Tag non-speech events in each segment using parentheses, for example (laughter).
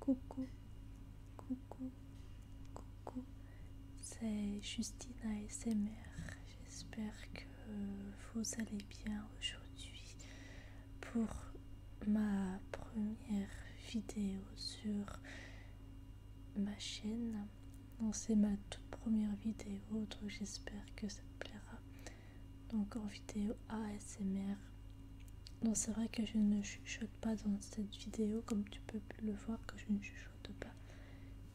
Coucou, coucou, coucou, c'est Justine ASMR. J'espère que vous allez bien aujourd'hui pour ma première vidéo sur ma chaîne. Non, C'est ma toute première vidéo, donc j'espère que ça plaira. Donc en vidéo ASMR, donc c'est vrai que je ne chuchote pas dans cette vidéo, comme tu peux le voir que je ne chuchote pas.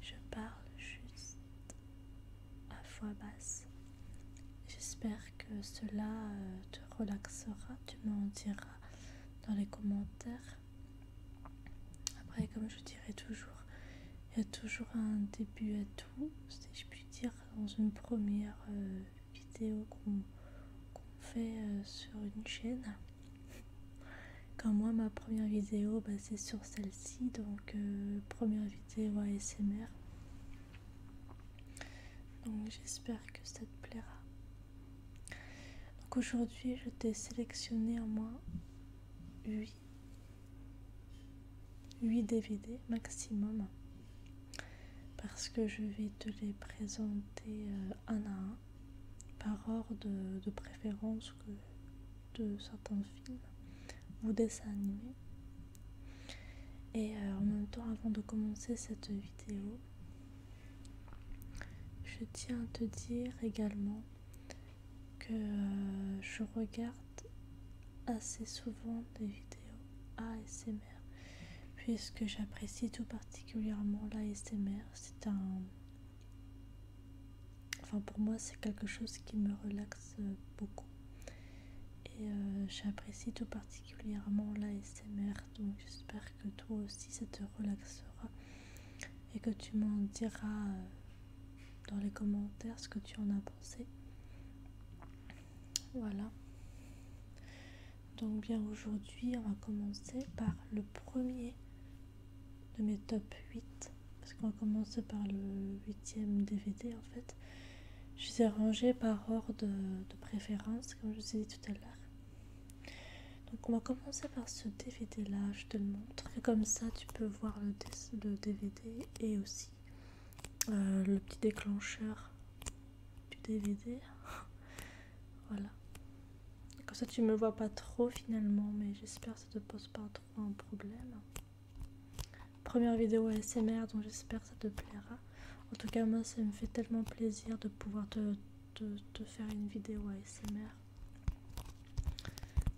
Je parle juste à voix basse. J'espère que cela euh, te relaxera, tu m'en diras dans les commentaires. Après, comme je dirais toujours, il y a toujours un début à tout, si je puis dire, dans une première euh, vidéo qu'on fait euh, sur une chaîne. Quand moi ma première vidéo bah, c'est sur celle-ci, donc euh, première vidéo ASMR. Donc j'espère que ça te plaira. Donc aujourd'hui je t'ai sélectionné en moins 8, 8 DVD maximum parce que je vais te les présenter euh, un à un par ordre de, préférence que de certains films ou dessins animés. Et euh, en même temps, avant de commencer cette vidéo, je tiens à te dire également que euh, je regarde assez souvent des vidéos ASMR puisque j'apprécie tout particulièrement l'ASMR. C'est un. Enfin, pour moi, c'est quelque chose qui me relaxe beaucoup. Et euh, j'apprécie tout particulièrement l'ASMR. Donc, j'espère que toi aussi, ça te relaxera. Et que tu m'en diras euh, dans les commentaires ce que tu en as pensé. Voilà. Donc bien aujourd'hui, on va commencer par le premier de mes top 8. Parce qu'on va commencer par le 8 huitième DVD en fait. Je les ai rangés par ordre de, préférence, comme je vous ai dit tout à l'heure. Donc on va commencer par ce DVD là, je te le montre. Et comme ça, tu peux voir le, DVD et aussi euh, le petit déclencheur du DVD. (laughs) Voilà. Comme ça, tu me vois pas trop finalement, mais j'espère que ça te pose pas trop un problème. Première vidéo ASMR, donc j'espère que ça te plaira. En tout cas, moi, ça me fait tellement plaisir de pouvoir te, faire une vidéo ASMR.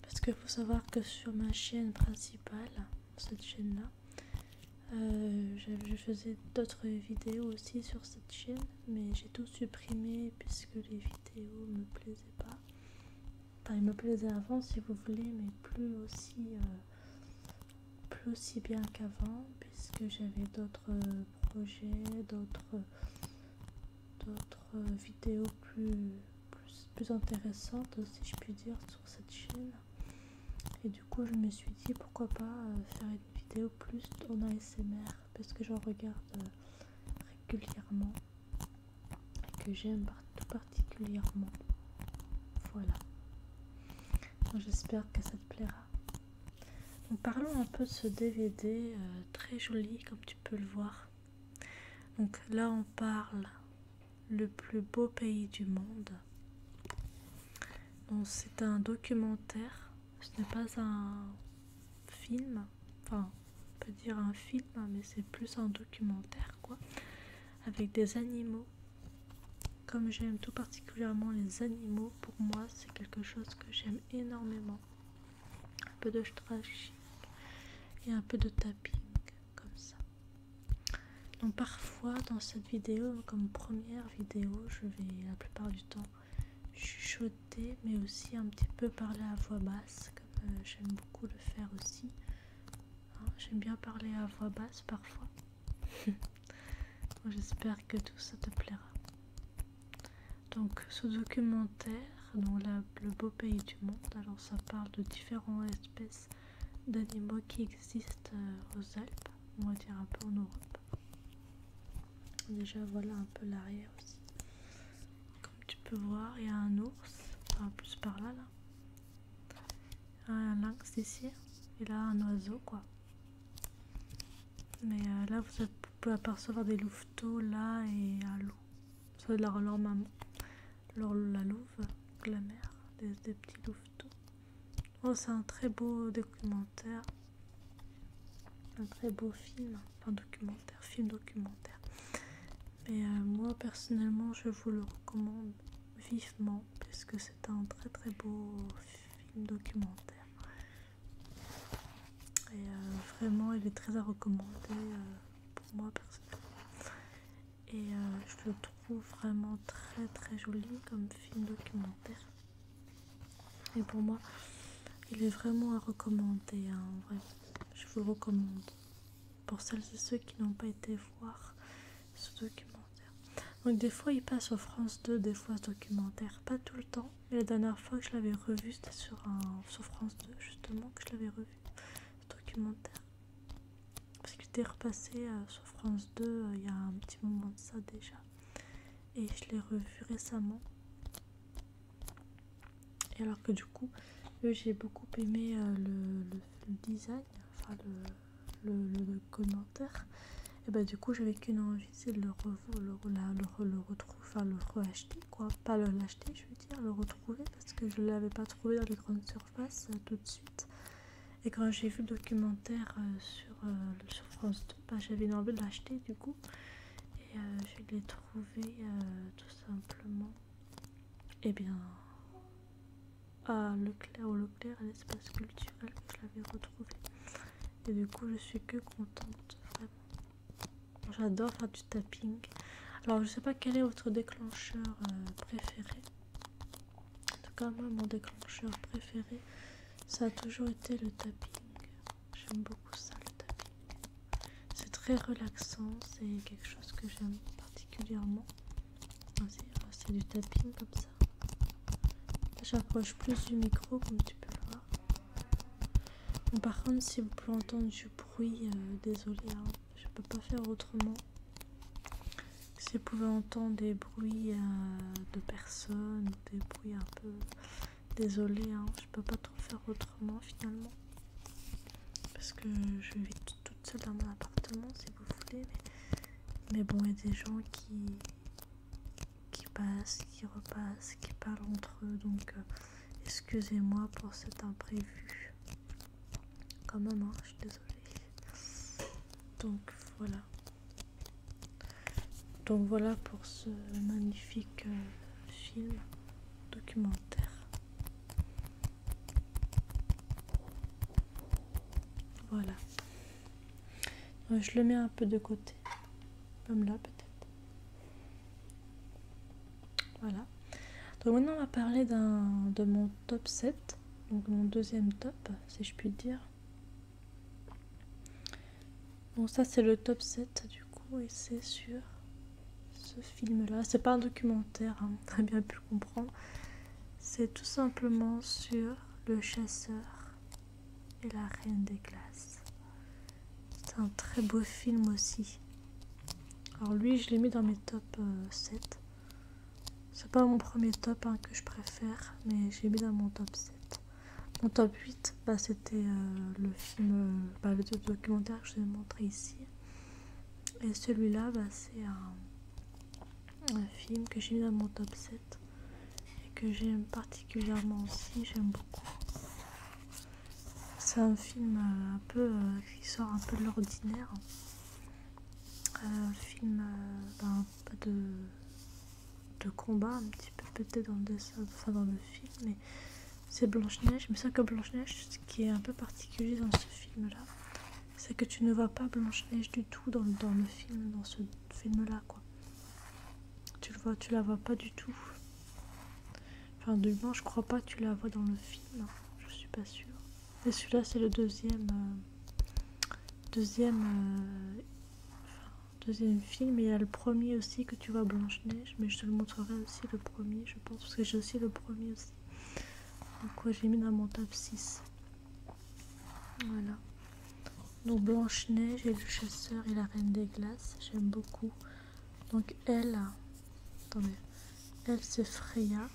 Parce que faut savoir que sur ma chaîne principale, cette chaîne-là, euh, je faisais d'autres vidéos aussi sur cette chaîne mais j'ai tout supprimé puisque les vidéos me plaisaient pas. Enfin, ils me plaisaient avant si vous voulez, mais plus aussi, euh, plus aussi bien qu'avant puisque j'avais d'autres euh, projets, d'autres d'autres vidéos plus, plus, intéressantes, si je puis dire, sur cette chaîne du coup je me suis dit pourquoi pas euh, faire une vidéo plus en ASMR parce que j'en regarde euh, régulièrement et que j'aime tout particulièrement. Voilà. J'espère que ça te plaira. parlons un peu de ce DVD euh, très joli comme tu peux le voir. Donc là on parle le plus beau pays du monde. C'est un documentaire ce n'est pas un film, enfin on peut dire un film, mais c'est plus un documentaire quoi, avec des animaux. Comme j'aime tout particulièrement les animaux, pour moi c'est quelque chose que j'aime énormément. Un peu de trashing et un peu de tapping comme ça. Donc parfois dans cette vidéo, comme première vidéo, je vais la plupart du temps chuchoter, mais aussi un petit peu parler à voix basse, comme euh, j'aime beaucoup le faire aussi. Hein, j'aime bien parler à voix basse parfois. (laughs) J'espère que tout ça te plaira. Donc ce documentaire, dans le beau pays du monde, alors ça parle de différentes espèces d'animaux qui existent euh, aux Alpes, on va dire un peu en Europe. Déjà voilà un peu l'arrière aussi. Comme tu peux voir, il y a un ours, un plus par là là. Ah, un lynx ici et là un oiseau quoi. Mais euh, là vous pouvez apercevoir des louveteaux là et un loup. Ça leur, leur maman, la louve, la mère, des petits louveteaux. Oh c'est un très beau documentaire un très beau film, un documentaire, film documentaire. Mais euh, moi personnellement, je vous le recommande vivement puisque c'est un très très beau film documentaire. Et euh, vraiment, il est très à recommander euh, pour moi personnellement. Et je le trouve vraiment très très joli comme film documentaire. Et pour moi, il est vraiment à recommander. Hein, vrai. Je vous le recommande. Pour celles et ceux qui n'ont pas été voir ce documentaire. Donc des fois, il passe sur France 2, des fois documentaire. Pas tout le temps. Mais la dernière fois que je l'avais revu, c'était sur, un, France 2, justement, que je l'avais revu, ce documentaire. Parce que j'étais repassé à euh, sur France 2 euh, il y a un petit moment de ça déjà et je l'ai revu récemment. Et alors que du coup, euh, j'ai beaucoup aimé euh, le, design, enfin le, le commentaire. Et bah du coup, j'avais qu'une envie, c'est de le, retrouver, enfin le re-acheter quoi. Pas le l'acheter, je veux dire, le retrouver parce que je ne l'avais pas trouvé dans les grandes surfaces euh, tout de suite. Et quand j'ai vu le documentaire sur sur, sur France bah, j'avais envie de l'acheter du coup et euh, je l'ai trouvé euh, tout simplement et eh bien à Leclerc ou clair à l'espace culturel que je l'avais retrouvé et du coup je suis que contente vraiment j'adore faire du tapping alors je sais pas quel est votre déclencheur euh, préféré en tout cas moi mon déclencheur préféré ça a toujours été le tapping J'aime beaucoup ça le tapping. C'est très relaxant, c'est quelque chose que j'aime particulièrement. Euh, c'est du tapping comme ça. J'approche plus du micro comme tu peux voir. par contre, si vous pouvez entendre du bruit, euh, désolé, hein, je peux pas faire autrement. Si vous pouvez entendre des bruits euh, de personnes, des bruits un peu Désolée, hein, je peux pas trop faire autrement finalement. Parce que je vis toute seule dans mon appartement si vous voulez. Mais, bon, il y a des gens qui, qui passent, qui repassent, qui parlent entre eux. Donc euh, excusez-moi pour cet imprévu. Quand même, hein, je suis désolée. Donc voilà. Donc voilà pour ce magnifique euh, film documentaire. Voilà. Je le mets un peu de côté. Comme là peut-être. Voilà. Donc maintenant on va parler de mon top 7. Donc mon deuxième top, si je puis dire. Bon, ça c'est le top 7 du coup, et c'est sur ce film-là. C'est pas un documentaire, très hein, bien pu le comprendre. C'est tout simplement sur le chasseur et la reine des glaces. C'est un très beau film aussi. Alors lui, je l'ai mis dans mes top 7. Euh, c'est pas mon premier top hein, que je préfère, mais j'ai mis dans mon top 7. Mon top 8, bah, c'était euh, le film, euh, bah, le documentaire que je vous ai montré ici. Et celui-là, bah, c'est un, film que j'ai mis dans mon top 7 et que j'aime particulièrement aussi, j'aime beaucoup. C'est un film euh, un peu qui sort un peu de l'ordinaire. Un film peu de de combat un petit peu peut-être dans le dessin, dans le film, mais c'est Blanche-Neige. Mais ça que Blanche-Neige, ce qui est un peu particulier dans ce film-là, c'est que tu ne vois pas Blanche-Neige du tout dans, le film, dans ce film-là, quoi. Tu le vois, tu la vois pas du tout. Enfin, du moins, je crois pas tu la vois dans le film, hein. je suis pas sûr Et celui-là, c'est le deuxième... Euh, deuxième... Euh, deuxième film et il y a le premier aussi que tu vois Blanche Neige mais je te le montrerai aussi le premier je pense parce que j'ai aussi le premier aussi donc quoi j'ai mis dans mon top 6 voilà donc Blanche Neige et le chasseur et la reine des glaces j'aime beaucoup donc elle attendez elle c'est Freya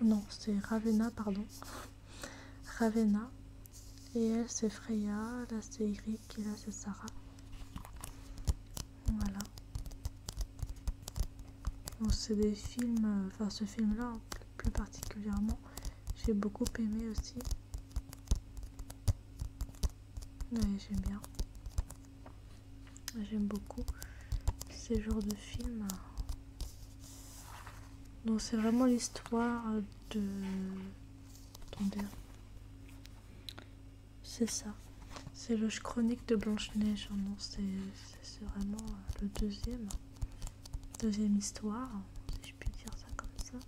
non c'est Ravenna pardon (laughs) Ravenna et elle, c'est Freya, là c'est Eric et là c'est Sarah. Voilà. c'est des films, euh, enfin ce film-là hein, plus particulièrement, j'ai beaucoup aimé aussi. j'aime bien. J'aime beaucoup ces genres de films. Donc c'est vraiment l'histoire de... Attendez. C'est ça. C'est le chronique de Blanche-Neige. Hein. c'est vraiment euh, le deuxième. Deuxième histoire, si je puis dire ça comme ça.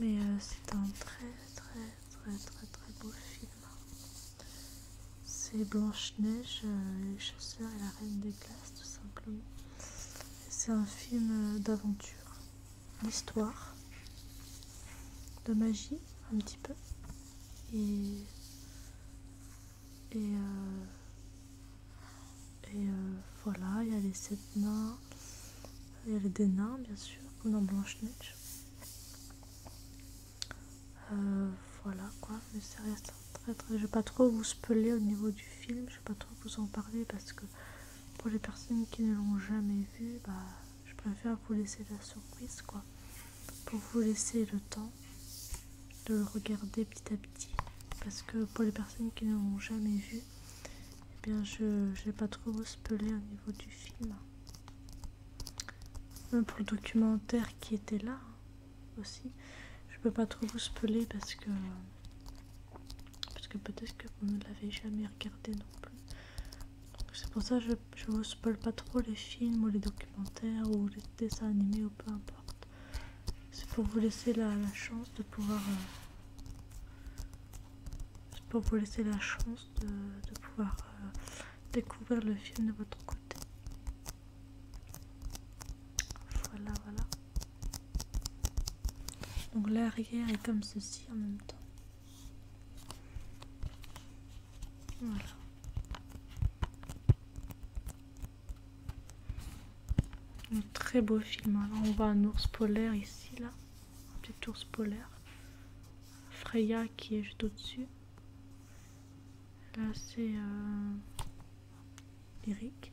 Mais euh, c'est un très très très très très beau film. C'est Blanche-Neige, euh, les chasseurs et la reine des glaces tout simplement. C'est un film d'aventure l'histoire de magie un petit peu. Et, et, euh, euh, voilà, il y a les sept nains, il y avait des nains bien sûr, comme dans Blanche-Neige. Euh, voilà quoi, mais ça reste très très. Je vais pas trop vous speler au niveau du film, je vais pas trop vous en parler parce que pour les personnes qui ne l'ont jamais vu, bah, je préfère vous laisser la surprise, quoi. Pour vous laisser le temps de le regarder petit à petit. Parce que pour les personnes qui ne l'ont jamais vu, je eh bien, je n'ai pas trop spelé au niveau du film. Même pour le documentaire qui était là hein, aussi, je peux pas trop vous speler parce que parce que peut-être que vous ne l'avez jamais regardé non plus. c'est pour ça que je ne spoil pas trop les films ou les documentaires ou les dessins animés ou peu importe. C'est pour vous laisser la, chance de pouvoir. Euh, c'est pour vous laisser la chance de, pouvoir euh, découvrir le film de votre côté. Voilà, voilà. Donc l'arrière est comme ceci en même temps. Voilà. Un très beau film. Alors on voit un ours polaire ici, là. Un petit ours polaire. Freya qui est juste au-dessus. Là c'est Eric.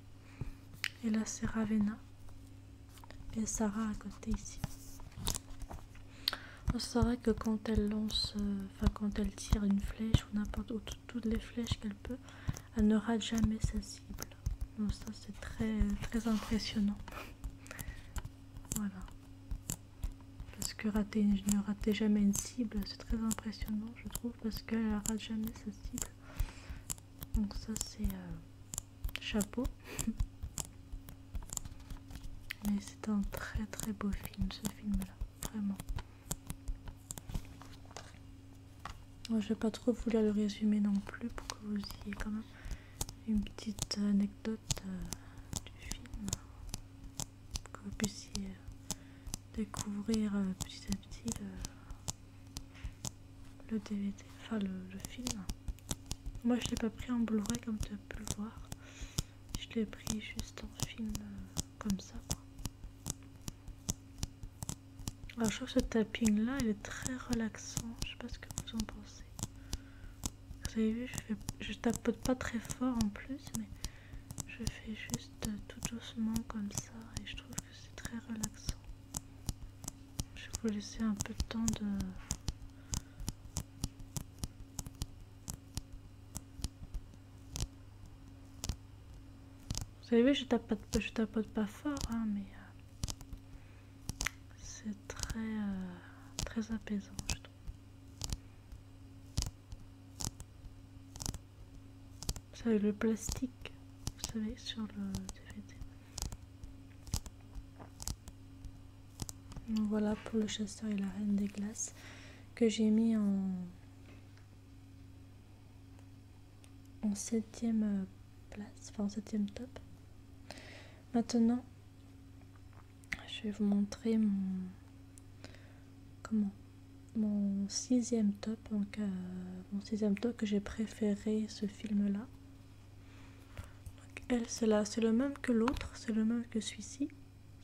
Euh, Et là c'est Ravenna et Sarah à côté ici. On oh, que quand elle lance, euh, enfin quand elle tire une flèche ou n'importe où, toutes les flèches qu'elle peut, elle ne rate jamais sa cible. Donc ça c'est très très impressionnant. voilà. Parce que rater, ne rater jamais une cible, c'est très impressionnant je trouve, parce qu'elle ne rate jamais sa cible. Donc ça c'est... Euh, chapeau. Mais c'est un très très beau film, ce film-là, vraiment. Moi, je vais pas trop vouloir le résumer non plus pour que vous ayez quand même une petite anecdote euh, du film, que vous puissiez euh, découvrir euh, petit à petit le DVD, enfin le, film. Moi je l'ai pas pris en Blu-ray comme tu as pu le voir. Je l'ai pris juste en film euh, comme ça. Alors je trouve que ce tapping là il est très relaxant. Je sais pas ce que vous en pensez. Vous avez vu, je, je tapote pas très fort en plus, mais je fais juste euh, tout doucement comme ça et je trouve que c'est très relaxant. Je vais vous laisser un peu de temps de... Vous savez, je je tapote pas fort, hein, mais euh, c'est très, euh, très apaisant, je trouve. Vous savez, le plastique, vous savez, sur le DVD. Voilà pour le chasseur et la reine des glaces que j'ai mis en, septième euh, place, enfin en septième top. Maintenant, je vais vous montrer mon comment mon sixième top, donc euh, mon sixième top que j'ai préféré ce film là elle, c'est là, c'est le même que l'autre, c'est le même que celui-ci.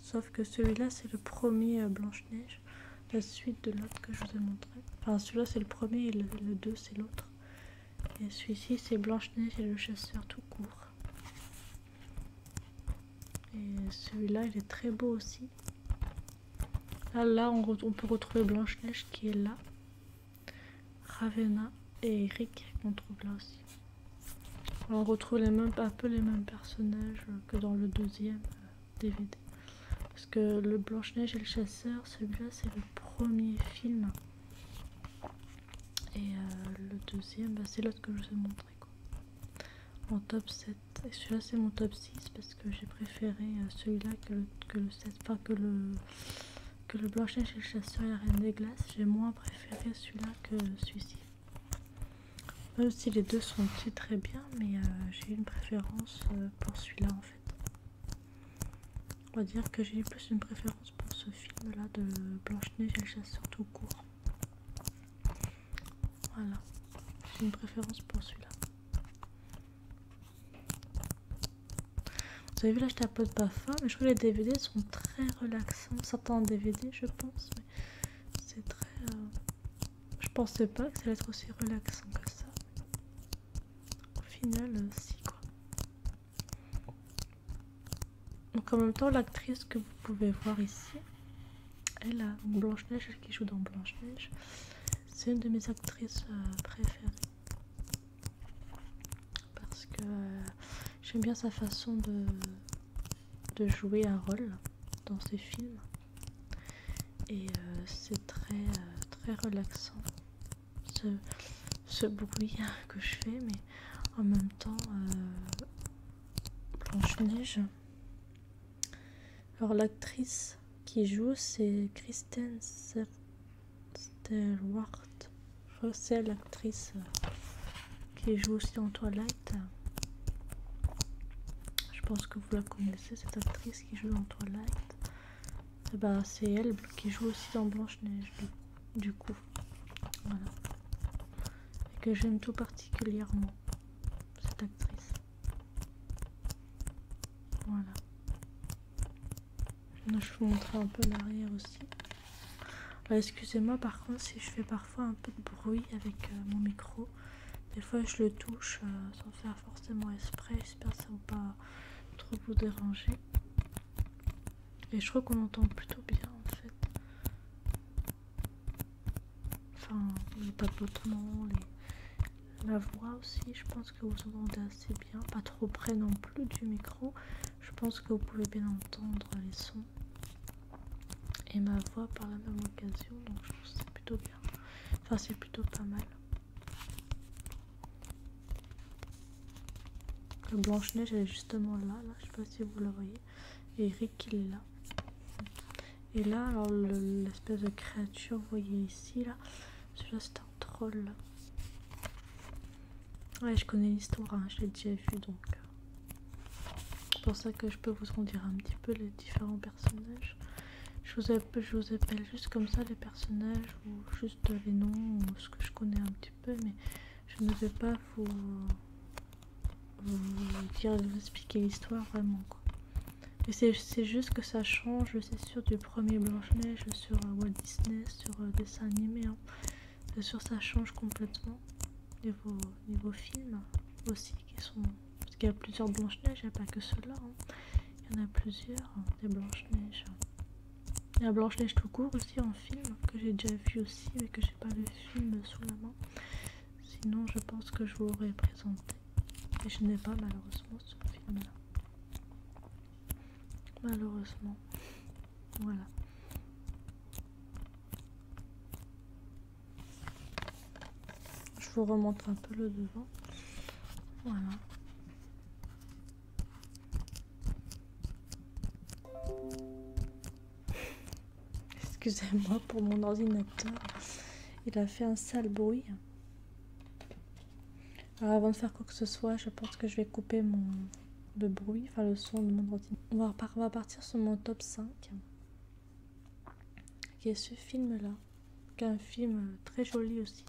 Sauf que celui-là, c'est le premier euh, Blanche-Neige, la suite de l'autre que je vous ai montré. Enfin, celui-là, c'est le premier et le deux c'est l'autre. Et celui-ci, c'est Blanche-Neige et le chasseur tout court. Et celui-là, il est très beau aussi. Là, là on peut retrouver Blanche-Neige qui est là. Ravenna et Eric qu'on trouve là aussi. on retrouve les mêmes, un peu les mêmes personnages que dans le deuxième DVD. Euh, parce que le Blanche-Neige et le Chasseur, celui-là c'est le premier film. Et euh, le deuxième, bah, c'est l'autre que je vous ai montré. Quoi. top 7. Et celui-là c'est mon top 6 parce que j'ai préféré euh, celui-là que que le 7. Enfin que le que le Blanche-Neige et le Chasseur et la Reine des Glaces. J'ai moins préféré celui-là que celui-ci. Même si les deux sont très bien, mais euh, j'ai une préférence euh, pour celui-là en fait. On va dire que j'ai plus une préférence pour ce film-là de Blanche-Neige et le Chasseur tout court. Voilà, j'ai une préférence pour celui-là. Vous avez vu là, je tapote pas fin, mais je trouve les DVD sont très relaxants. Certains DVD, je pense, mais c'est très. Euh, je pensais pas que ça allait être aussi relaxant que ça. Au final, euh, si quoi. Donc en même temps, l'actrice que vous pouvez voir ici, elle a Blanche-Neige, elle qui joue dans Blanche-Neige, c'est une de mes actrices euh, préférées parce que euh, j'aime bien sa façon de, de jouer un rôle dans ses films et euh, c'est très euh, très relaxant ce, ce bruit (laughs) que je fais mais en même temps Blanche-Neige alors l'actrice qui joue c'est Kristen Stewart Russell, l'actrice euh, qui joue aussi dans toilette. Je pense que vous la connaissez, cette actrice qui joue dans toilette. Et eh bah, ben, c'est elle qui joue aussi dans Blanche-Neige, du coup. Voilà. Et que j'aime tout particulièrement, cette actrice. Voilà. Je vais vous montrer un peu l'arrière aussi. Bah, excusez-moi par contre si je fais parfois un peu de bruit avec euh, mon micro. Des fois je le touche euh, sans faire forcément exprès. J'espère que ça ne va pas trop vous déranger. Et je crois qu'on entend plutôt bien en fait. Enfin, pas de la voix aussi, je pense que vous entendez assez bien. Pas trop près non plus du micro. Je pense que vous pouvez bien entendre les sons et ma voix par la même occasion, donc je que c'est plutôt bien. Enfin, c'est plutôt pas mal. Le Blanche-Neige, elle est justement là, là, je sais pas si vous la voyez. Et Eric, il est là. Et là, alors l'espèce de créature, vous voyez ici, là, celui-là, c'est un troll. Ouais, je connais l'histoire, hein, je l'ai déjà vu donc. Euh, c'est pour ça que je peux vous en dire un petit peu les différents personnages. Je vous, appelle, juste comme ça les personnages ou juste les noms ou ce que je connais un petit peu, mais je ne vais pas vous, vous dire, vous expliquer l'histoire vraiment quoi. Mais c'est juste que ça change, c'est sûr, du premier Blanche-Neige sur euh, Walt Disney, sur euh, dessin animé. Hein. C'est euh, sûr, ça change complètement niveau, film aussi, qui sont parce qu'il y a plusieurs Blanche-Neige, il n'y a pas que ceux-là. Hein. Il y en a plusieurs, des hein. Blanche-Neige. Il y a Blanche-Neige tout court aussi en film, que j'ai déjà vu aussi, mais que j'ai pas le film sous la main. Sinon, je pense que je vous l'aurais présenté. Et je n'ai pas malheureusement ce film-là malheureusement. Voilà. Je vous remonte un peu le devant. Voilà. Excusez-moi pour mon ordinateur. Il a fait un sale bruit. Alors avant de faire quoi que ce soit, je pense que je vais couper mon, le bruit, enfin le son de mon ordinateur. On va, on partir sur mon top 5, qui est ce film-là, qui est un film euh, très joli aussi.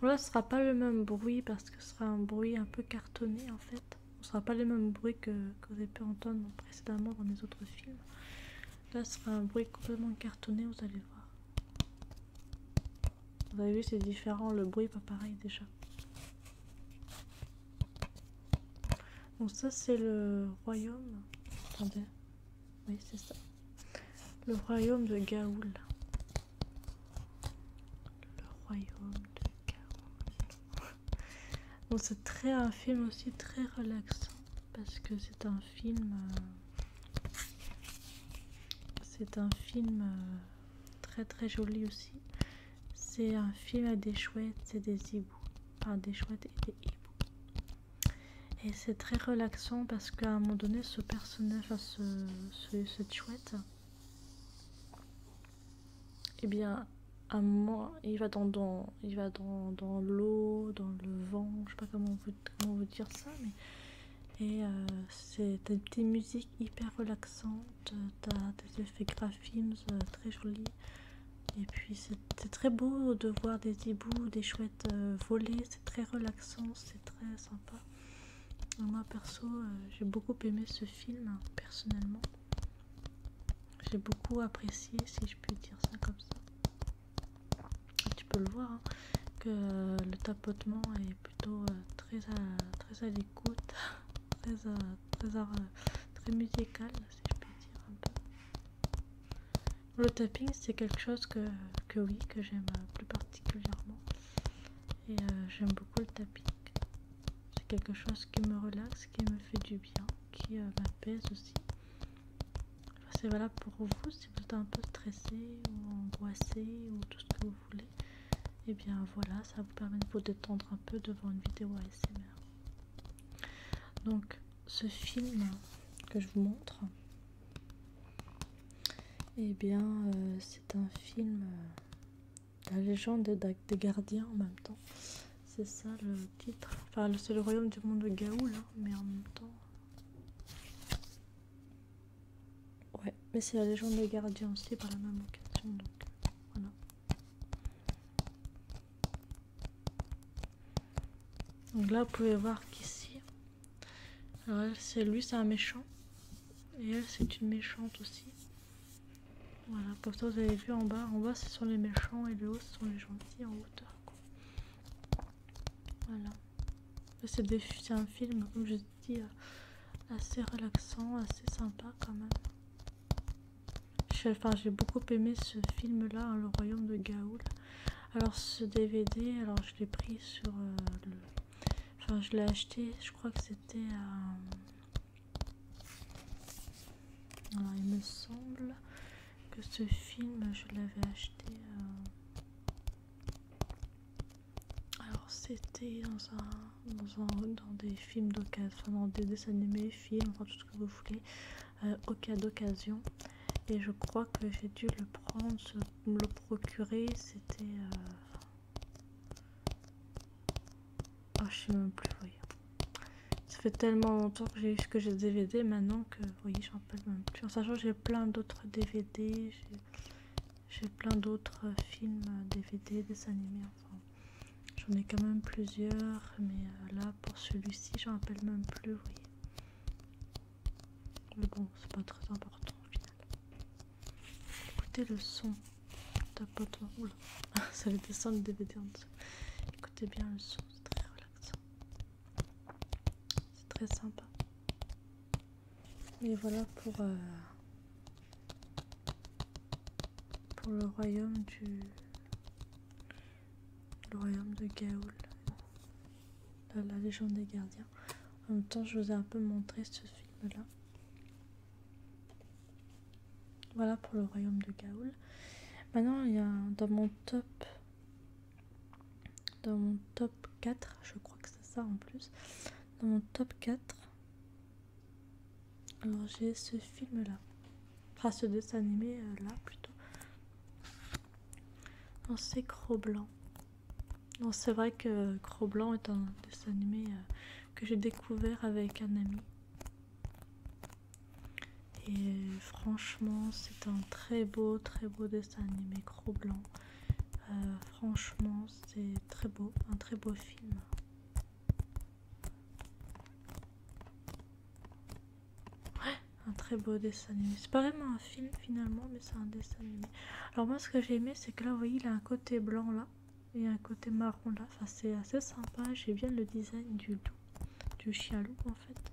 Donc là, ce sera pas le même bruit parce que ce sera un bruit un peu cartonné en fait. Ce sera pas le même bruit que, que vous avez pu entendre précédemment dans les autres films. Là, ce sera un bruit complètement cartonné, vous allez voir. Vous avez vu, c'est différent, le bruit pas pareil déjà. Donc ça c'est le royaume. Attendez. Oui, c'est ça. Le royaume de Gaoul. Le royaume de Gaoul. Bon, c'est très un film aussi très relaxant parce que c'est un film euh, c'est un film euh, très très joli aussi. C'est un film à des chouettes et des hiboux. Par des chouettes et des hiboux. Et c'est très relaxant parce qu'à un moment donné, ce personnage, ce, cette chouette, Et eh bien, à un moment, il va dans, dans dans, l'eau, dans le vent, je sais pas comment vous dire ça, mais et euh, c'est des petites musiques hyper relaxante, t'as des effets graphismes euh, très jolis. Et puis c'est très beau de voir des hiboux, des chouettes euh, voler, c'est très relaxant, c'est très sympa. moi perso, euh, j'ai beaucoup aimé ce film, hein, personnellement. J'ai beaucoup apprécié, si je puis dire ça comme ça. Tu peux le voir, hein, que le tapotement est plutôt très très à l'écoute. (laughs) très, euh, euh, très, musical, si je peux dire un peu. Le tapping, c'est quelque chose que, oui, que j'aime euh, plus particulièrement. Et j'aime beaucoup le tapping. C'est quelque chose qui me relaxe, qui me fait du bien, qui m'apaise aussi. c'est valable pour vous si vous êtes un peu stressé ou angoissé ou tout ce que vous voulez. Et eh bien voilà, ça vous permet de vous détendre un peu devant une vidéo ASMR. Donc ce film que je vous montre, et eh bien euh, c'est un film euh, La légende des, gardiens en même temps. C'est ça le titre. Enfin c'est le royaume du monde de Gaoul, hein, mais en même temps. Ouais, mais c'est la légende des gardiens aussi par la même occasion. Voilà. Donc là, vous pouvez voir qu'ici, c'est lui, c'est un méchant. Et elle, c'est une méchante aussi. Voilà, comme ça, vous avez vu en bas. En bas, ce sont les méchants et le haut, ce sont les gentils en hauteur. Voilà. C'est un film, je euh, assez relaxant, assez sympa quand même. J'ai enfin, j'ai beaucoup aimé ce film là, hein, Le Royaume de Gaoul. Alors ce DVD, alors je l'ai pris sur euh, Enfin je l'ai acheté, je crois que c'était à... il me semble que ce film, je l'avais acheté... Euh, alors c'était dans un dans des films d'occasion, dans des dessins animés, films, enfin tout ce que vous voulez, euh, au cas d'occasion. Et je crois que j'ai dû le prendre, me le procurer, c'était... Euh, ah je sais même plus, voyez Ça fait tellement longtemps que j'ai eu que j'ai DVD maintenant que, oui, j'en peux même plus. En sachant j'ai plein d'autres DVD, j'ai plein d'autres films, DVD, euh, dessins animés, J'en ai quand même plusieurs, mais euh, là pour celui-ci, j'en rappelle même plus, oui. Mais bon, c'est pas très important au final. Écoutez le son. tapoteur toi. Oula, (laughs) ça va descendre le DVD en dessous. Écoutez bien le son, c'est très relaxant. C'est très sympa. Mais voilà pour. Euh, pour le royaume du royaume de Gaoul la, la légende des gardiens en même temps je vous ai un peu montré ce film là voilà pour le royaume de Gaoul maintenant il y a dans mon top dans mon top 4 je crois que c'est ça en plus dans mon top 4 alors j'ai ce film là. Enfin ce dessin animé euh, là plutôt. Non c'est Cro-Blanc. Non c'est vrai que Cro-Blanc est un dessin animé euh, que j'ai découvert avec un ami. Et franchement c'est un très beau très beau dessin animé Cro-Blanc. Euh, franchement c'est très beau, un très beau film. Ouais, un très beau dessin animé. C'est pas vraiment un film finalement, mais c'est un dessin animé. Alors moi, ce que j'ai aimé, c'est que là, vous voyez, il a un côté blanc là et un côté marron là. Enfin, c'est assez sympa. J'ai bien le design du loup, du chien en fait.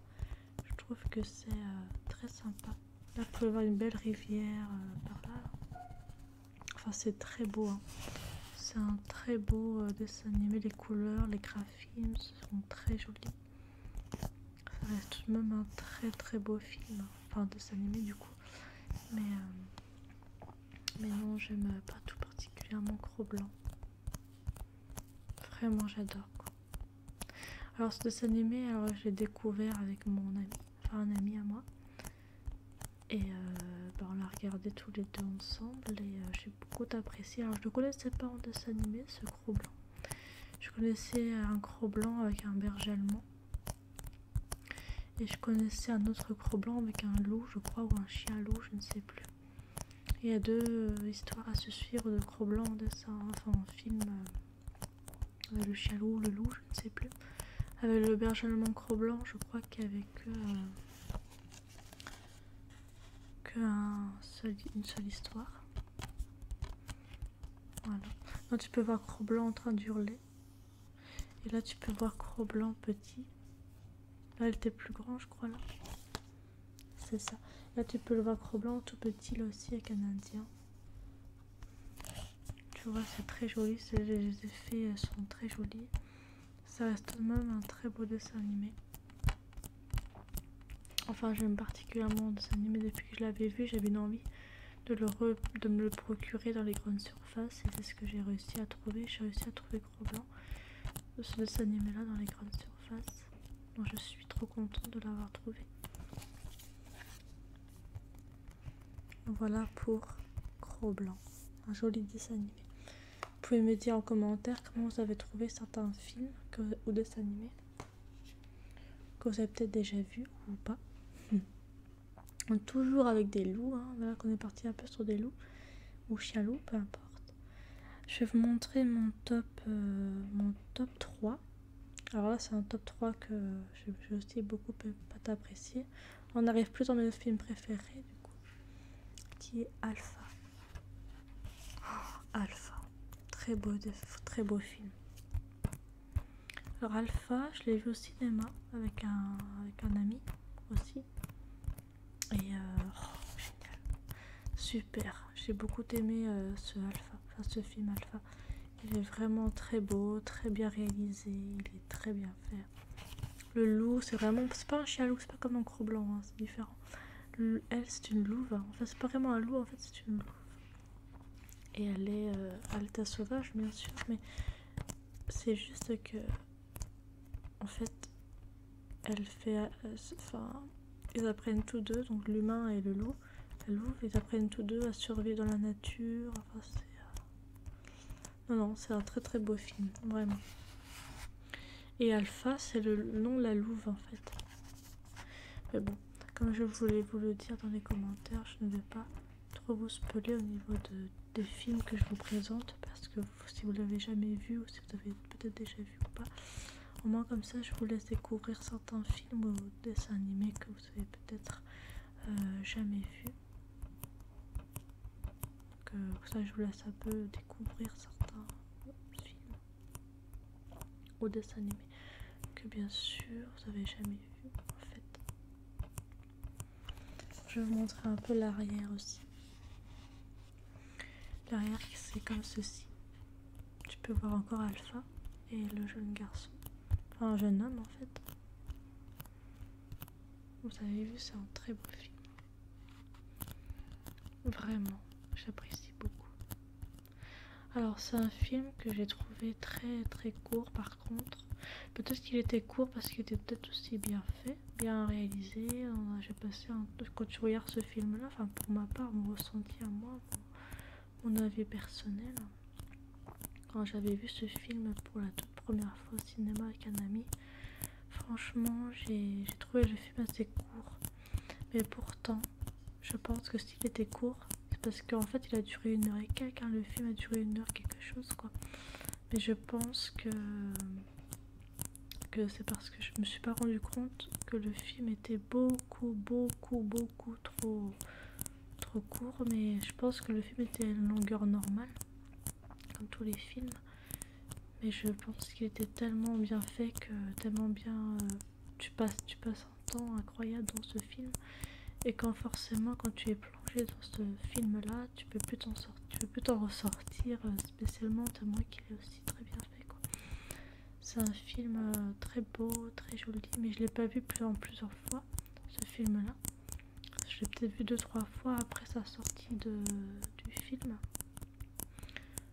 Je trouve que c'est euh, très sympa. Là, vous pouvez voir une belle rivière euh, par là. Enfin, c'est très beau. Hein. C'est un très beau euh, dessin animé. Les couleurs, les graphismes sont très jolis. Ça tout de même un très très beau film. Enfin, dessin animé du coup. Mais, euh, non, j'aime euh, pas tout particulièrement Cro Blanc. Vraiment, j'adore. Alors, ce dessin animé, alors, j'ai découvert avec mon ami, enfin un ami à moi. Et euh, bah, on l'a regardé tous les deux ensemble et euh, j'ai beaucoup apprécié. Alors je connaissais pas en dessin animé ce croc blanc. Je connaissais un croc blanc avec un berger allemand. Et je connaissais un autre croc blanc avec un loup, je crois, ou un chien loup, je ne sais plus. Il y a deux euh, histoires à se suivre de croc blanc en dessin, enfin en film. le chien loup, le loup, je ne sais plus. Avec le berger allemand croc blanc, je crois qu'avec qu'une seule histoire. Voilà. Là, tu peux voir Cro Blanc en train d'hurler. Et là, tu peux voir Cro Blanc petit. Là, il était plus grand, je crois. là C'est ça. Là, tu peux le voir Cro Blanc tout petit, là aussi, avec un indien. Tu vois, c'est très joli. Les effets sont très jolis. Ça reste même un très beau dessin animé. Enfin, j'aime particulièrement le dessin animé depuis que je l'avais vu. J'avais une envie de, le de me le procurer dans les grandes surfaces et c'est ce que j'ai réussi à trouver. J'ai réussi à trouver Gros Blanc, ce dessin animé-là, dans les grandes surfaces. Donc, je suis trop contente de l'avoir trouvé. Voilà pour Gros Blanc un joli dessin animé. Vous pouvez me dire en commentaire comment vous avez trouvé certains films ou dessins animés que vous avez peut-être déjà vu ou pas. (laughs) Toujours avec des loups, hein. voilà qu'on est parti un peu sur des loups ou chien peu importe. Je vais vous montrer mon top, euh, mon top 3. Alors là, c'est un top 3 que j'ai aussi beaucoup apprécié. On arrive plus dans mes films préférés, du coup, qui est Alpha. Oh, Alpha, très beau, très beau film. Alors Alpha, je l'ai vu au cinéma avec un, ami aussi. Et euh, oh, génial. Super. J'ai beaucoup aimé euh, ce Alpha, ce film Alpha. Il est vraiment très beau, très bien réalisé, il est très bien fait. Le loup, c'est vraiment. C'est pas un chien loup, c'est pas comme un croc blanc, hein, c'est différent. elle, c'est une louve. Enfin, c'est pas vraiment un loup, en fait, c'est une louve. Et elle est euh, alta sauvage, bien sûr, mais c'est juste que. En fait, elle fait. Euh, enfin, ils apprennent tous deux, donc l'humain et le loup. La louve, ils apprennent tous deux à survivre dans la nature. Enfin, c'est. Euh, non, non, c'est un très très beau film, vraiment. Et Alpha, c'est le nom la louve en fait. Mais bon, comme je voulais vous le dire dans les commentaires, je ne vais pas trop vous spoiler au niveau de, des films que je vous présente parce que si vous l'avez jamais vu ou si vous avez peut-être déjà vu ou pas, au moins comme ça je vous laisse découvrir certains films ou dessins animés que vous avez peut-être euh, jamais vu que ça je vous laisse un peu découvrir certains films ou dessins animés que bien sûr vous avez jamais vu en fait. Je vais vous montrer un peu l'arrière aussi. L'arrière c'est comme ceci. Tu peux voir encore Alpha et le jeune garçon. Enfin un jeune homme en fait. Vous avez vu c'est un très beau film. Vraiment, j'apprécie beaucoup. Alors c'est un film que j'ai trouvé très très court par contre. Peut-être qu'il était court parce qu'il était peut-être aussi bien fait, bien réalisé. J'ai passé quand tu regardes ce film-là, enfin pour ma part, mon ressenti à moi, mon avis personnel. Quand j'avais vu ce film pour la toute première fois au cinéma avec un ami, Franchement, j'ai trouvé le film assez court. Mais pourtant, je pense que s'il était court, c'est parce qu'en fait, il a duré une heure et quelques. Hein. Le film a duré une heure quelque chose, quoi. Mais je pense que, que c'est parce que je me suis pas rendu compte que le film était beaucoup, beaucoup, beaucoup trop, trop court. Mais je pense que le film était à une longueur normale comme tous les films. Mais je pense qu'il était tellement bien fait que tellement bien euh, tu passes tu passes un temps incroyable dans ce film et quand forcément quand tu es plongé dans ce film là tu peux plus t'en tu peux plus t'en ressortir euh, spécialement tellement qu'il est aussi très bien fait quoi. C'est un film euh, très beau, très joli, mais je l'ai pas vu plus en plusieurs fois ce film là. Je l'ai peut-être vu deux trois fois après sa sortie du film.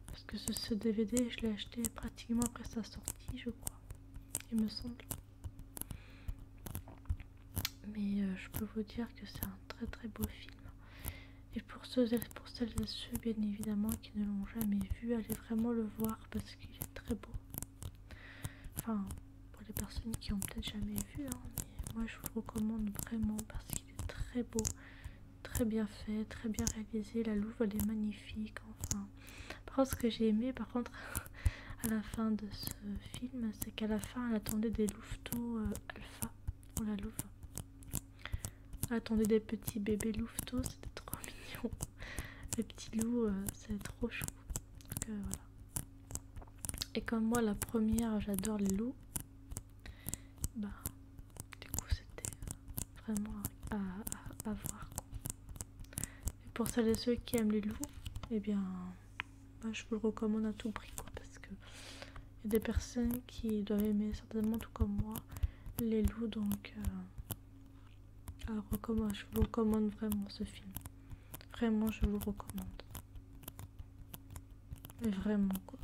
Parce que ce, DVD, je l'ai acheté pratiquement après sa sortie, je crois. Il me semble. Mais euh, je peux vous dire que c'est un très très beau film. Et pour ceux pour celles et ceux bien évidemment qui ne l'ont jamais vu, allez vraiment le voir parce qu'il est très beau. Enfin, pour les personnes qui ont peut-être jamais vu, hein, mais moi je vous recommande vraiment parce très beau, très bien fait, très bien réalisé. La louve elle est magnifique. Enfin, par ce que j'ai aimé, par contre, (laughs) à la fin de ce film, c'est qu'à la fin, elle attendait des louveteaux euh, alpha pour la louve. Elle attendait des petits bébés louveteaux, c'était trop (laughs) mignon. Les petits loups, euh, c'est trop chou. Euh, Et comme moi, la première, j'adore les loups bah du coup c'était euh, vraiment à, voir pour celles et ceux qui aiment les loups et eh bien bah, je vous le recommande à tout prix quoi parce que il y a des personnes qui doivent aimer certainement tout comme moi les loups donc euh, je vous recommande vraiment ce film vraiment je vous recommande mais vraiment quoi.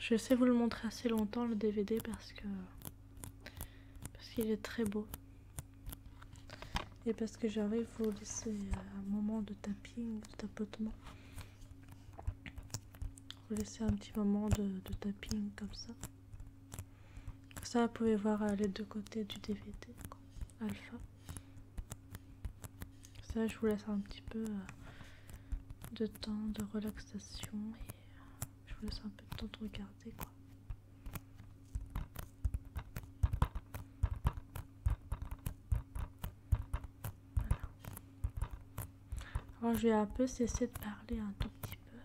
Je sais vous le montrer assez longtemps le DVD parce que parce qu'il est très beau. Et parce que j'arrive vous laisser euh, un moment de tapping, de tapotement. Vous laisser un petit moment de, tapping comme ça. Ça, vous pouvez voir euh, les deux côtés du DVD alpha. Ça, je vous laisse un petit peu euh, de temps de relaxation et euh, je vous laisse un peu de temps de regarder quoi. Alors, je vais un peu cesser de parler un tout petit peu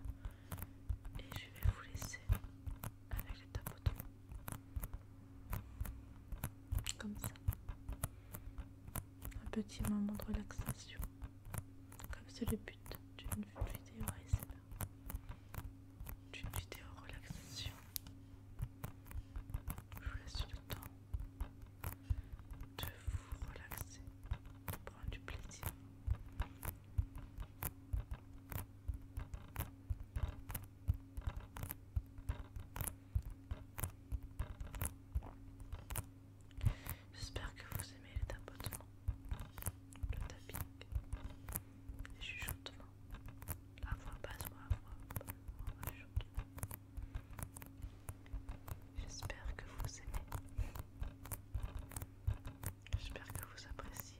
et je vais vous laisser avec les tapotons. Comme ça. Un petit moment de relaxation. Comme c'est le but d'une vidéo récemment, D'une vidéo relaxation. Je vous laisse le temps de vous relaxer, de prendre du plaisir. J'espère que vous aimez les tapotements, le tapping, les chuchotements, la voix basse ou la voix chuchotement. J'espère que vous aimez. J'espère que vous appréciez.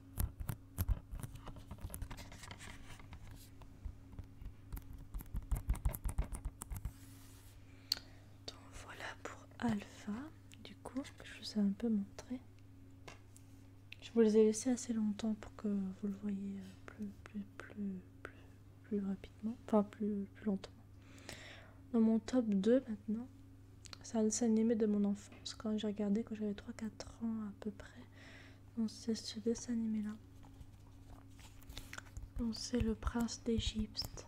Donc voilà pour Alpha, du coup, je vous ai un peu montré. Je vous les ai laissés assez longtemps pour que vous le voyez euh, plus, plus, rapidement, enfin plus, plus lentement. Dans mon top 2 maintenant, c'est un dessin animé de mon enfance, quand j'ai regardé quand j'avais 3-4 ans à peu près. On c'est ce dessin animé là. On c'est le prince d'Égypte.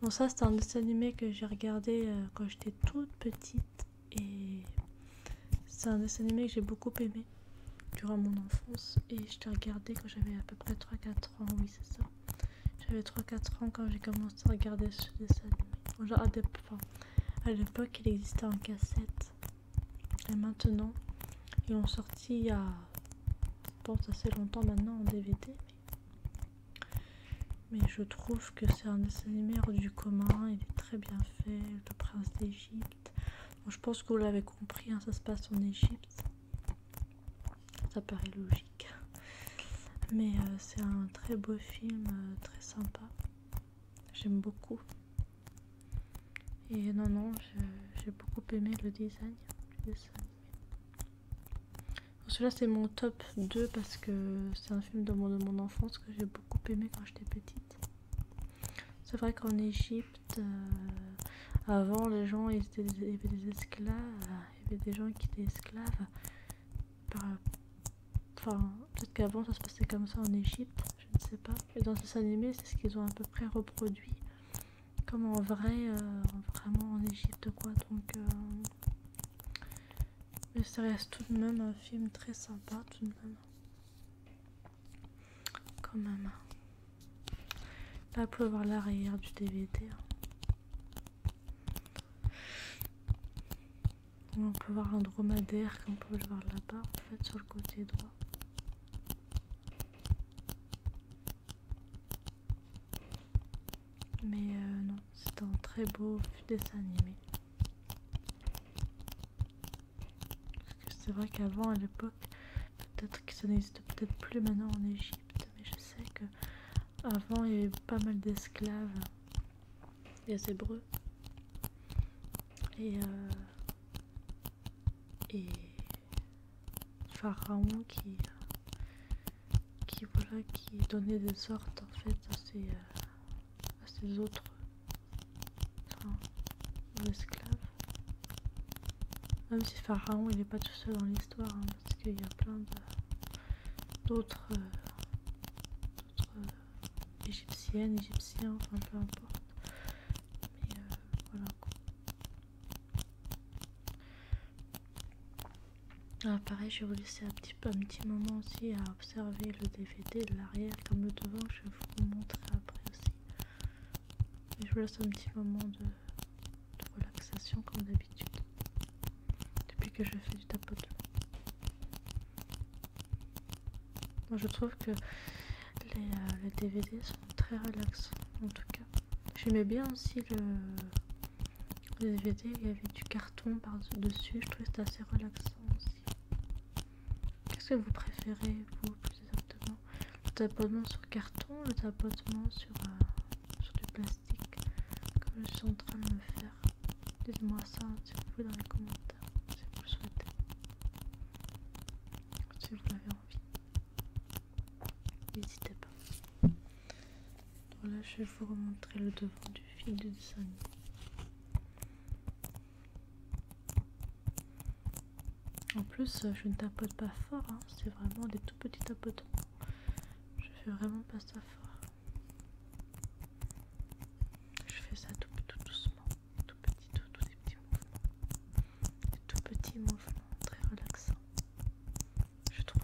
Bon ça c'est un dessin animé que j'ai regardé euh, quand j'étais toute petite et c'est un dessin animé que j'ai beaucoup aimé durant mon enfance et je l'ai regardé quand j'avais à peu près 3-4 ans, oui c'est ça. J'avais 3-4 ans quand j'ai commencé à regarder ce dessin animé. à des à l'époque, il existait en cassette. Et maintenant, ils l'ont sorti il y a, assez longtemps maintenant en DVD. Mais, je trouve que c'est un dessin animé du commun. Il est très bien fait. Le prince d'Égypte. je pense que vous l'avez compris, hein, ça se passe en Égypte. Ça paraît logique. Mais euh, c'est un très beau film, euh, très sympa. J'aime beaucoup. Et non, non, j'ai beaucoup aimé le design du dessin Celui-là, c'est mon top 2 parce que c'est un film de mon, de mon enfance que j'ai beaucoup aimé quand j'étais petite. C'est vrai qu'en Egypte euh, avant, les gens, ils étaient, des esclaves, il y avait des gens qui étaient esclaves par, Enfin, peut-être qu'avant ça se passait comme ça en Égypte, je ne sais pas. mais dans ces animés, c'est ce qu'ils ont à peu près reproduit, comme en vrai, euh, vraiment en Égypte, quoi. Donc, euh, mais ça reste tout de même un film très sympa, tout de même. Quand même. Là, vous pouvez voir l'arrière du DVD. On peut voir un dromadaire qu'on peut voir là-bas en fait sur le côté droit. Mais euh, non, c'est un très beau dessin animé. Parce que c'est vrai qu'avant, à l'époque, peut-être que ça n'existe peut-être plus maintenant en Égypte, mais je sais que avant il y avait pas mal d'esclaves les Hébreux. Et, euh, et Pharaon qui, euh, qui, voilà, qui donnait des sortes en fait à ces euh, à autres esclaves. Même si Pharaon il n'est pas tout seul dans l'histoire, hein, parce qu'il y a plein d'autres euh, égyptienne, égyptien, enfin peu importe. Mais euh, voilà quoi. Ah, pareil, je vais vous laisser un petit, un petit moment aussi à observer le DVD de l'arrière comme le devant. Je vais vous montrer après aussi. je vous laisse un petit moment de, relaxation comme d'habitude. Depuis que je fais du tapotement. Moi je trouve que les, DVD euh, sont très relaxants en tout cas. J'aimais bien aussi le, DVD, il y avait du carton par-dessus, je trouvais que assez relaxant aussi. Qu'est-ce que vous préférez vous plus exactement Le tapotement sur carton, ou le tapotement euh, sur, du plastique, comme je suis en train de me faire. Dites-moi ça si vous pouvez dans les commentaires si vous le souhaitez, si vous l'avez envie. N'hésitez pas. là je vais vous remontrer le devant du fil de dessin. En plus, euh, je ne tapote pas fort, hein, c'est vraiment des tout petits tapotements. Je fais vraiment pas ça fort. Je fais ça tout doucement tout petit, tout, tout des petits mouvements, des tout petits mouvements très relaxant, je trouve.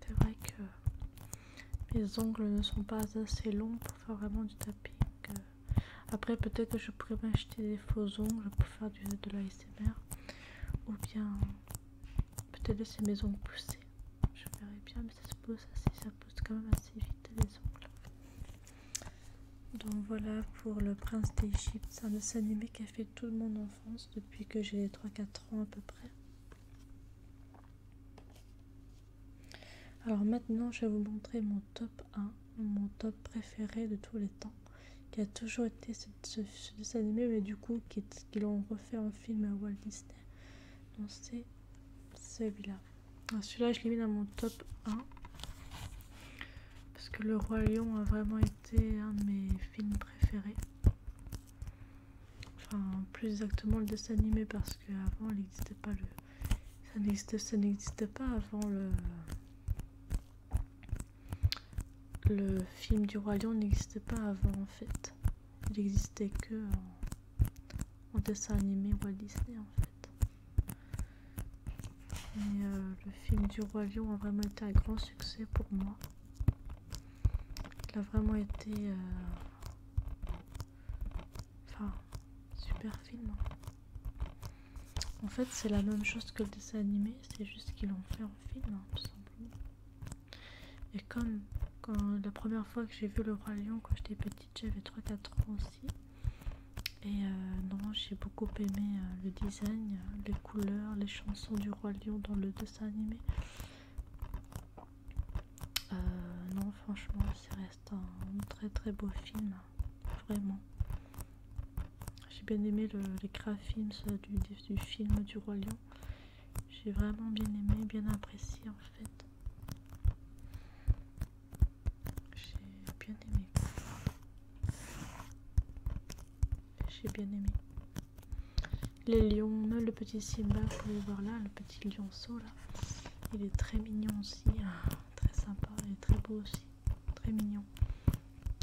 C'est vrai que mes ongles ne sont pas assez longs pour faire vraiment du tapping. Après, peut-être que je pourrais m'acheter des faux ongles pour faire du, de l'ASMR. Ou bien, peut-être laisser mes ongles pousser. Je verrai bien, mais ça se pousse, assez, ça pousse quand même assez vite les ongles. Donc voilà pour le prince d'Égypte, c'est un dessin animé qui a fait toute mon enfance depuis que j'ai 3-4 ans à peu près. Alors maintenant je vais vous montrer mon top 1, mon top préféré de tous les temps, qui a toujours été ce, dessin animé, mais du coup qu'ils qui l'ont refait en film à Walt Disney. Donc c'est celui-là. Ah, celui-là, je l'ai mis dans mon top 1. Parce que Le Roi Lion a vraiment été un de mes films préférés. Enfin, plus exactement le dessin animé, parce qu'avant, il n'existait pas le. Ça n'existait, n'existait pas avant le. Le film du Roi Lion n'existait pas avant, en fait. Il n'existait que en, dessin animé Walt Disney, en fait. Et euh, le film du Roi Lion a vraiment été un grand succès pour moi. Il a vraiment été. Euh, enfin, super film. Hein. En fait, c'est la même chose que le dessin animé, c'est juste qu'ils l'ont fait en film, hein, tout simplement. Et comme la première fois que j'ai vu le Roi Lion quand j'étais petite, j'avais 3-4 ans et euh, non, j'ai beaucoup aimé euh, le design, euh, les couleurs, les chansons du Roi Lion dans le dessin animé. non, franchement, ça reste un très très beau film, vraiment. J'ai bien aimé le, les films du, du film du Roi Lion. J'ai vraiment bien aimé, bien apprécié en fait. J'ai bien aimé. J'ai bien aimé. Les lions, même le petit Simba, vous pouvez voir là, le petit lionceau là. Il est très mignon aussi, hein. très sympa, il est très beau aussi, très mignon.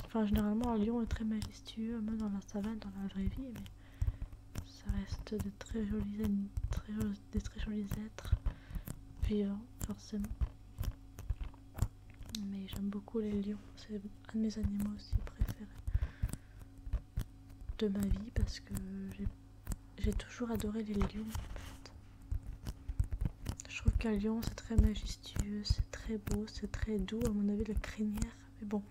Enfin, généralement, un lion est très majestueux, même dans la savane, dans la vraie vie, mais ça reste de très des très jolis êtres vivants, forcément. Mais j'aime beaucoup les lions, c'est un de mes animaux aussi préférés de ma vie parce que j'ai toujours adoré les lions. Je trouve qu'un lion c'est très majestueux, c'est très beau, c'est très doux. À mon avis, la crinière, mais bon,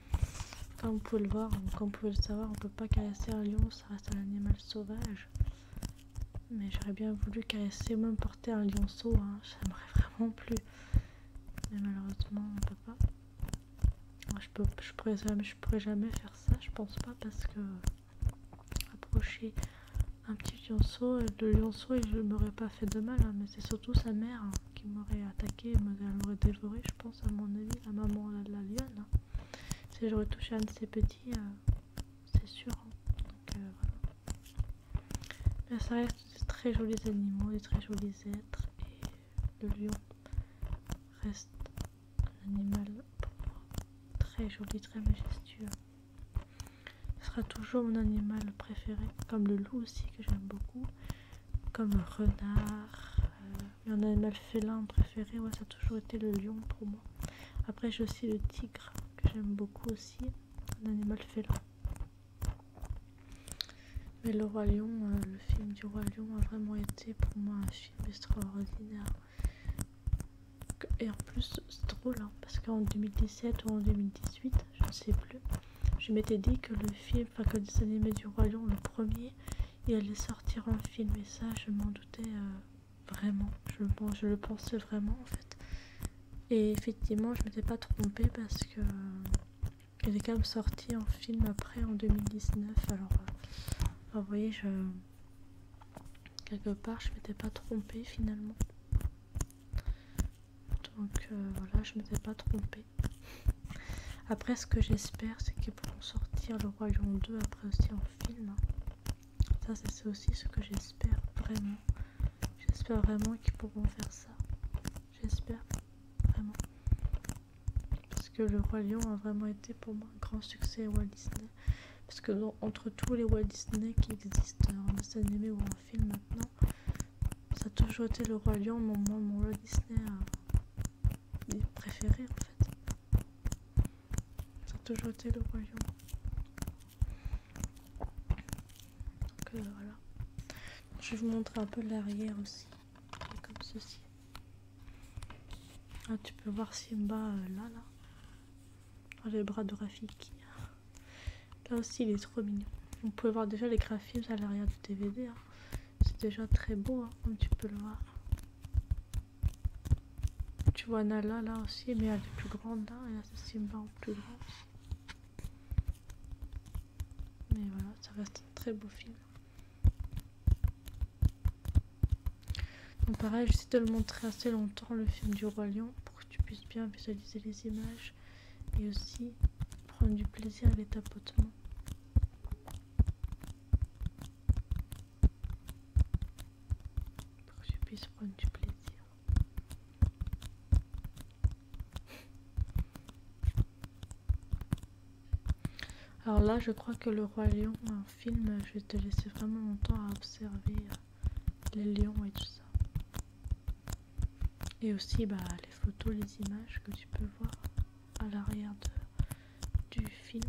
comme vous pouvez le voir, comme vous pouvez le savoir, on peut pas caresser un lion, ça reste un animal sauvage. Mais j'aurais bien voulu caresser même porter un lionceau, hein. j'aimerais vraiment plus. Mais malheureusement, on peut pas. je, peux, je, pourrais jamais, faire ça, je pense pas, parce que approcher un petit lionceau, euh, le lionceau, il ne m'aurait pas fait de mal, hein. mais c'est surtout sa mère hein, qui m'aurait attaqué, elle m'aurait dévoré, je pense, à mon avis, la maman de la lionne. Hein. Si j'aurais touché un de ses petits, euh, c'est sûr. Euh, ça reste des très jolis animaux, des très jolis êtres. Et le lion reste un animal très joli, très majestueux. Ce sera toujours mon animal préféré, comme le loup aussi que j'aime beaucoup, comme le renard. Euh, mon animal félin préféré, ouais, ça a toujours été le lion pour moi. Après, j'ai aussi le tigre que j'aime beaucoup aussi un animal félin. Mais Le Roi Lion, euh, le film du Roi Lion a vraiment été pour moi un film extraordinaire. Et en plus, c'est drôle hein, parce qu'en 2017 ou en 2018, je ne sais plus, je m'étais dit que le film, enfin que les animés du Roi Lion, le premier, il allait sortir en film. Et ça, je m'en doutais euh, Vraiment, je, je le pensais vraiment en fait. Et effectivement, je m'étais pas trompée parce que Elle est quand même sorti en film après en 2019. Alors, euh, vous voyez, je quelque part, je m'étais pas trompée finalement. Donc euh, voilà, je m'étais pas trompée. Après, ce que j'espère, c'est qu'ils pourront sortir Le Royaume 2 après aussi en film. Hein. Ça, c'est aussi ce que j'espère vraiment. J'espère vraiment qu'ils pourront faire ça. J'espère vraiment. Parce que le Roi Lion a vraiment été pour moi un grand succès Walt Disney. Parce que entre tous les Walt Disney qui existent en dessin animé ou en film maintenant, ça a toujours été le Roi Lion, mon, Walt Disney euh, préféré en fait. Ça a toujours été le Roi Lion. Euh, Je vais vous montrer un peu l'arrière aussi. Comme ceci. Ah, tu peux voir Simba euh, là, là. Ah, les bras de Rafiki. Là aussi, il est trop mignon. Vous pouvez voir déjà les graphismes à l'arrière du DVD. Hein. C'est déjà très beau, hein, comme tu peux le voir. Tu vois Nala là aussi, mais elle est plus grande hein, Et là, plus Mais voilà, ça reste un très beau film. Donc pareil, j'essaie de le montrer assez longtemps, le film du Roi Lion, pour que tu puisses bien visualiser les images et aussi prendre du plaisir à les tapotements. Pour que tu puisses prendre du plaisir. Alors là, je crois que Le Roi Lion, un film, je vais te laisser vraiment longtemps à observer euh, les lions et tout ça. Et aussi bah, les photos, les images que tu peux voir à l'arrière du film.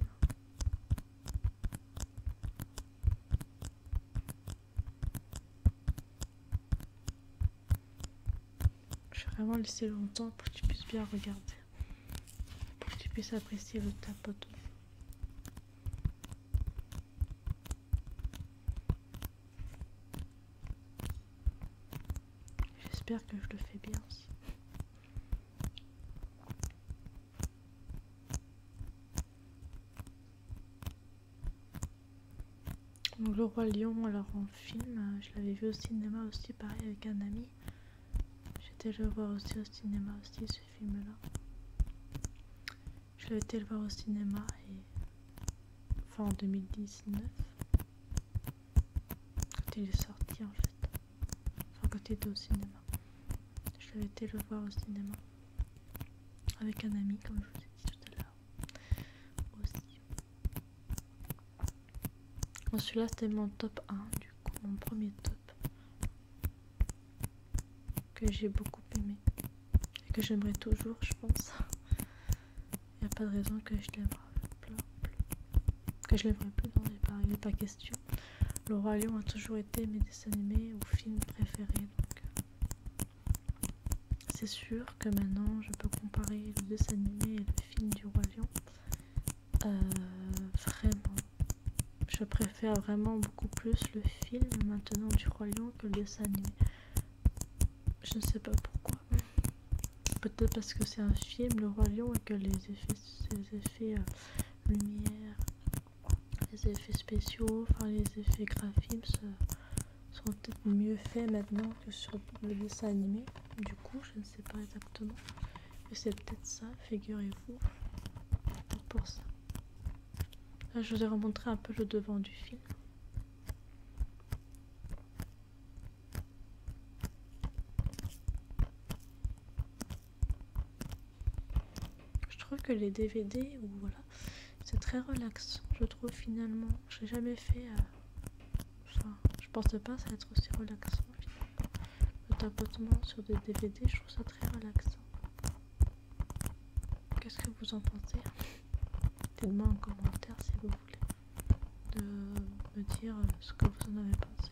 Je vais vraiment laisser longtemps pour que tu puisses bien regarder. Pour que tu puisses apprécier le tapot. J'espère que je le fais bien aussi le roi lion, alors en film, euh, je l'avais vu au cinéma aussi, pareil avec un ami. J'étais le voir aussi au cinéma aussi ce film-là. Je l'avais été le voir au cinéma et enfin en 2019 quand il est sorti en fait, enfin quand il était au cinéma. Je l'avais été le voir au cinéma avec un ami comme je vous ai dit tout à l'heure aussi celui-là c'était mon top 1 du coup mon premier top que j'ai beaucoup aimé et que j'aimerais toujours je pense il n'y a pas de raison que je l'aimerais plus que je l'aimerais plus non il n'est pas, question le a toujours été mes dessins animés ou films préférés donc euh, c'est sûr que maintenant je peux comparer le dessin animé et le film du Roi Lion. Euh, vraiment, je préfère vraiment beaucoup plus le film maintenant du Roi Lion que le dessin animé. Je ne sais pas pourquoi. Peut-être parce que c'est un film, le Roi Lion, et que les effets, effets euh, lumière, les effets spéciaux, enfin les effets graphiques euh, sont peut-être mieux faits maintenant que sur le dessin animé. Du coup, je ne sais pas exactement. Mais c'est peut-être ça, figurez-vous. Pour ça. je vous ai remontré un peu le devant du film. Je trouve que les DVD ou voilà c'est très relaxant je trouve finalement j'ai jamais fait euh, enfin je pense pas ça va être aussi relaxant le tapotement sur des DVD je trouve ça très relaxant qu'est ce que vous en pensez dites moi en commentaire si vous voulez de me dire ce que vous en avez pensé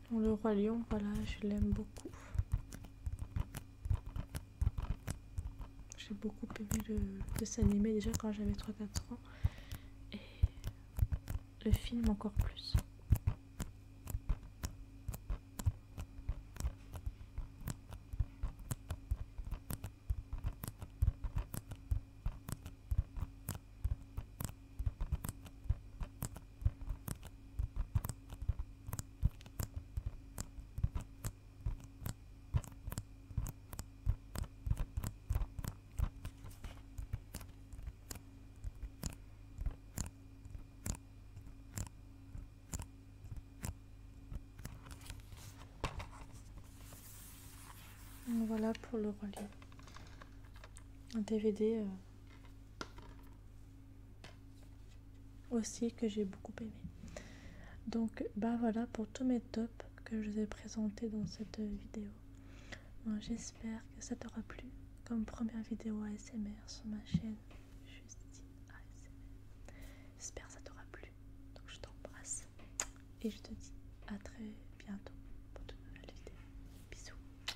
Le roi lion, voilà, je l'aime beaucoup. J'ai beaucoup aimé le dessin animé déjà quand j'avais 3-4 ans. Et le film encore plus. Voilà pour le relais Un DVD aussi que j'ai beaucoup aimé. Donc bah voilà pour tous mes tops que je vous ai présentés dans cette vidéo. J'espère que ça t'aura plu comme première vidéo ASMR sur ma chaîne ASMR. J'espère que ça t'aura plu. Donc je t'embrasse et je te dis à très bientôt pour de nouvelles vidéos. Bisous.